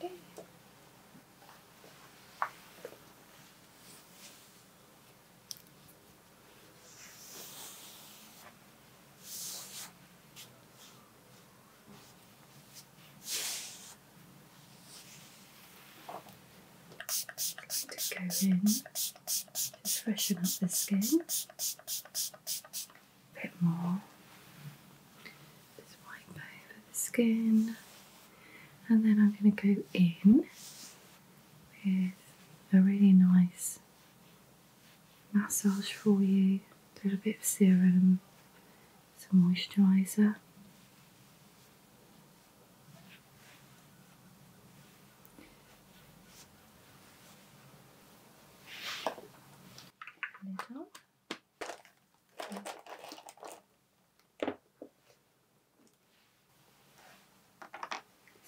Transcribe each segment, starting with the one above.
Okay. To go in to freshen up the skin a bit more. Just wipe over the skin, and then I'm going to go in with a really nice massage for you. A little bit of serum, some moisturiser.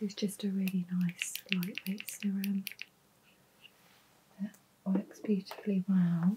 This is just a really nice lightweight serum that works beautifully well.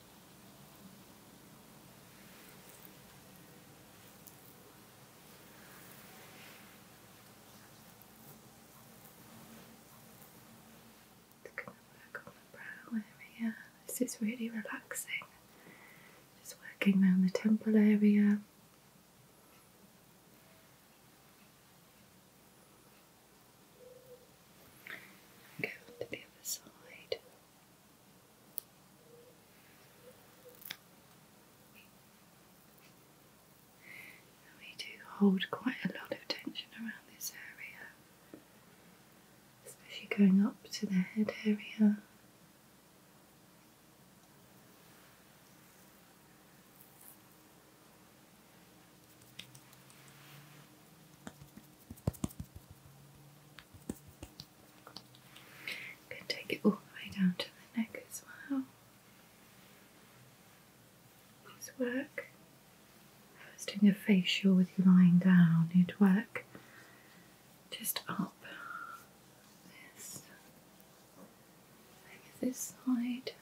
Just going on the brow area. This is really relaxing. Just working around the temple area. Go to the other side we do hold quite a lot of tension around this area, especially going up to the head area. Can take it all the way down to the neck as well. These work. first I was doing a facial with you lying down, it'd work just up this, this side.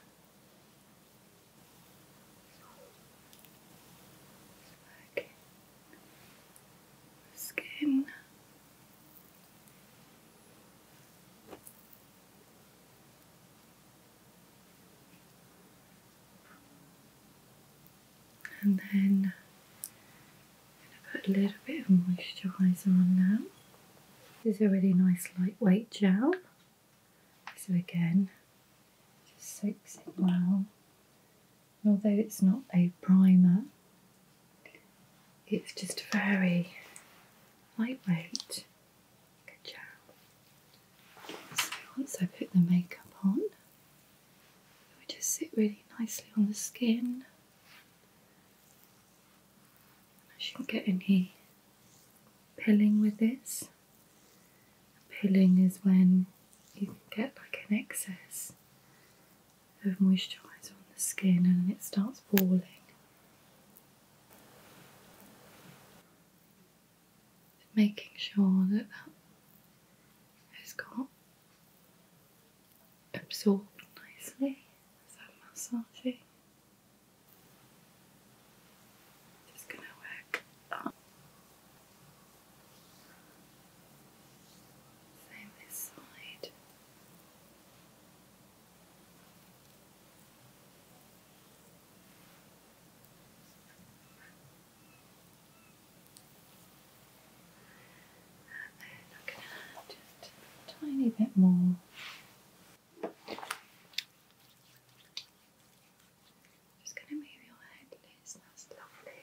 Okay skin. And then I'm going to put a little bit of moisturiser on now. This is a really nice lightweight gel. So again, just soaks it well. And although it's not a primer, it's just very lightweight. Good job. So once I put the makeup on, it just sit really nicely on the skin. I shouldn't get any pilling with this. Pilling is when you get like an excess of moisturiser on the skin and it starts falling. Making sure that that has got absorbed nicely, that massaging. It's gonna work. Oh. Same side. I'm going to just tiny bit more. Just gonna move your head loose. That's lovely.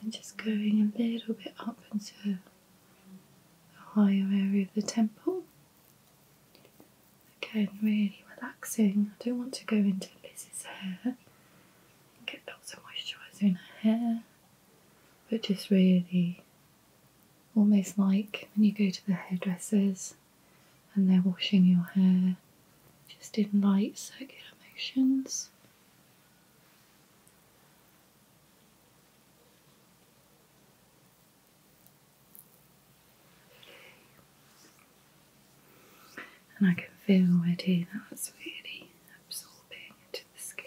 I'm just going a little bit up and to the higher area of the temple. Again, really relaxing. I don't want to go into Liz's hair get lots of moisturiser in her hair, but just really almost like when you go to the hairdressers and they're washing your hair, just in light circular motions. And I can feel already that's really absorbing into the skin.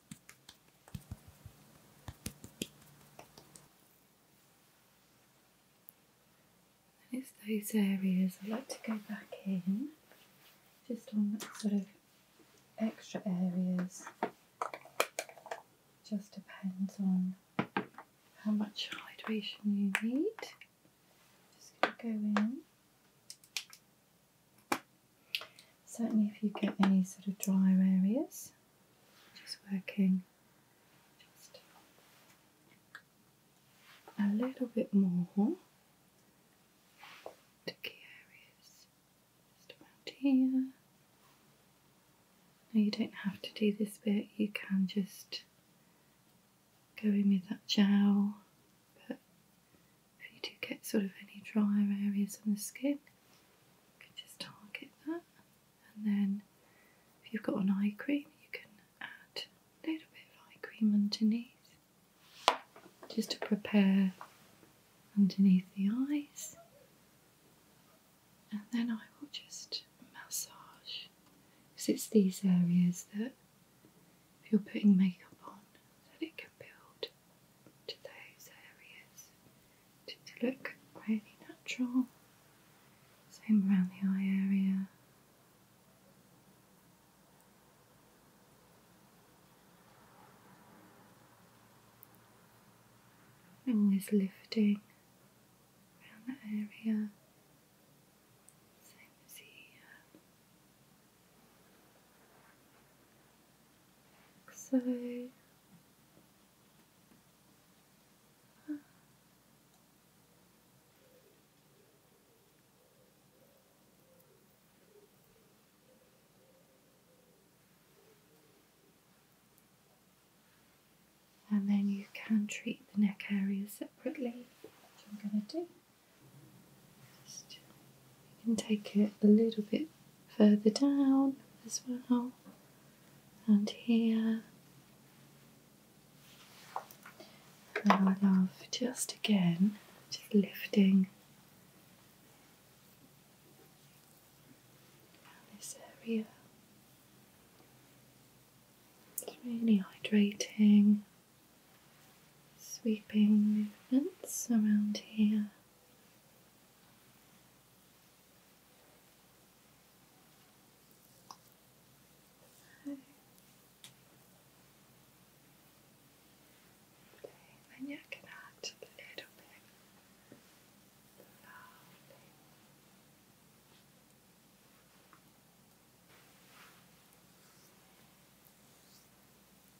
And it's those areas I like to go back in, just on sort of extra areas. Just depends on how much hydration you need. Just going to go in. Certainly, if you get any sort of drier areas, just working just a little bit more to key areas, just about here. Now, you don't have to do this bit, you can just go in with that gel, but if you do get sort of any drier areas on the skin, you can just target that. And then if you've got an eye cream, you can add a little bit of eye cream underneath just to prepare underneath the eyes. And then I will just massage because it's these areas that if you're putting makeup on, that it can build to those areas to, look really natural. Same around the eye area. Always lifting around that area. Same as here. So and then you can treat the neck area separately, which I'm going to do. Just, you can take it a little bit further down as well, and here. And I love just again, just lifting this area. It's really hydrating sweeping movements around here. okay, then you can add a little bit.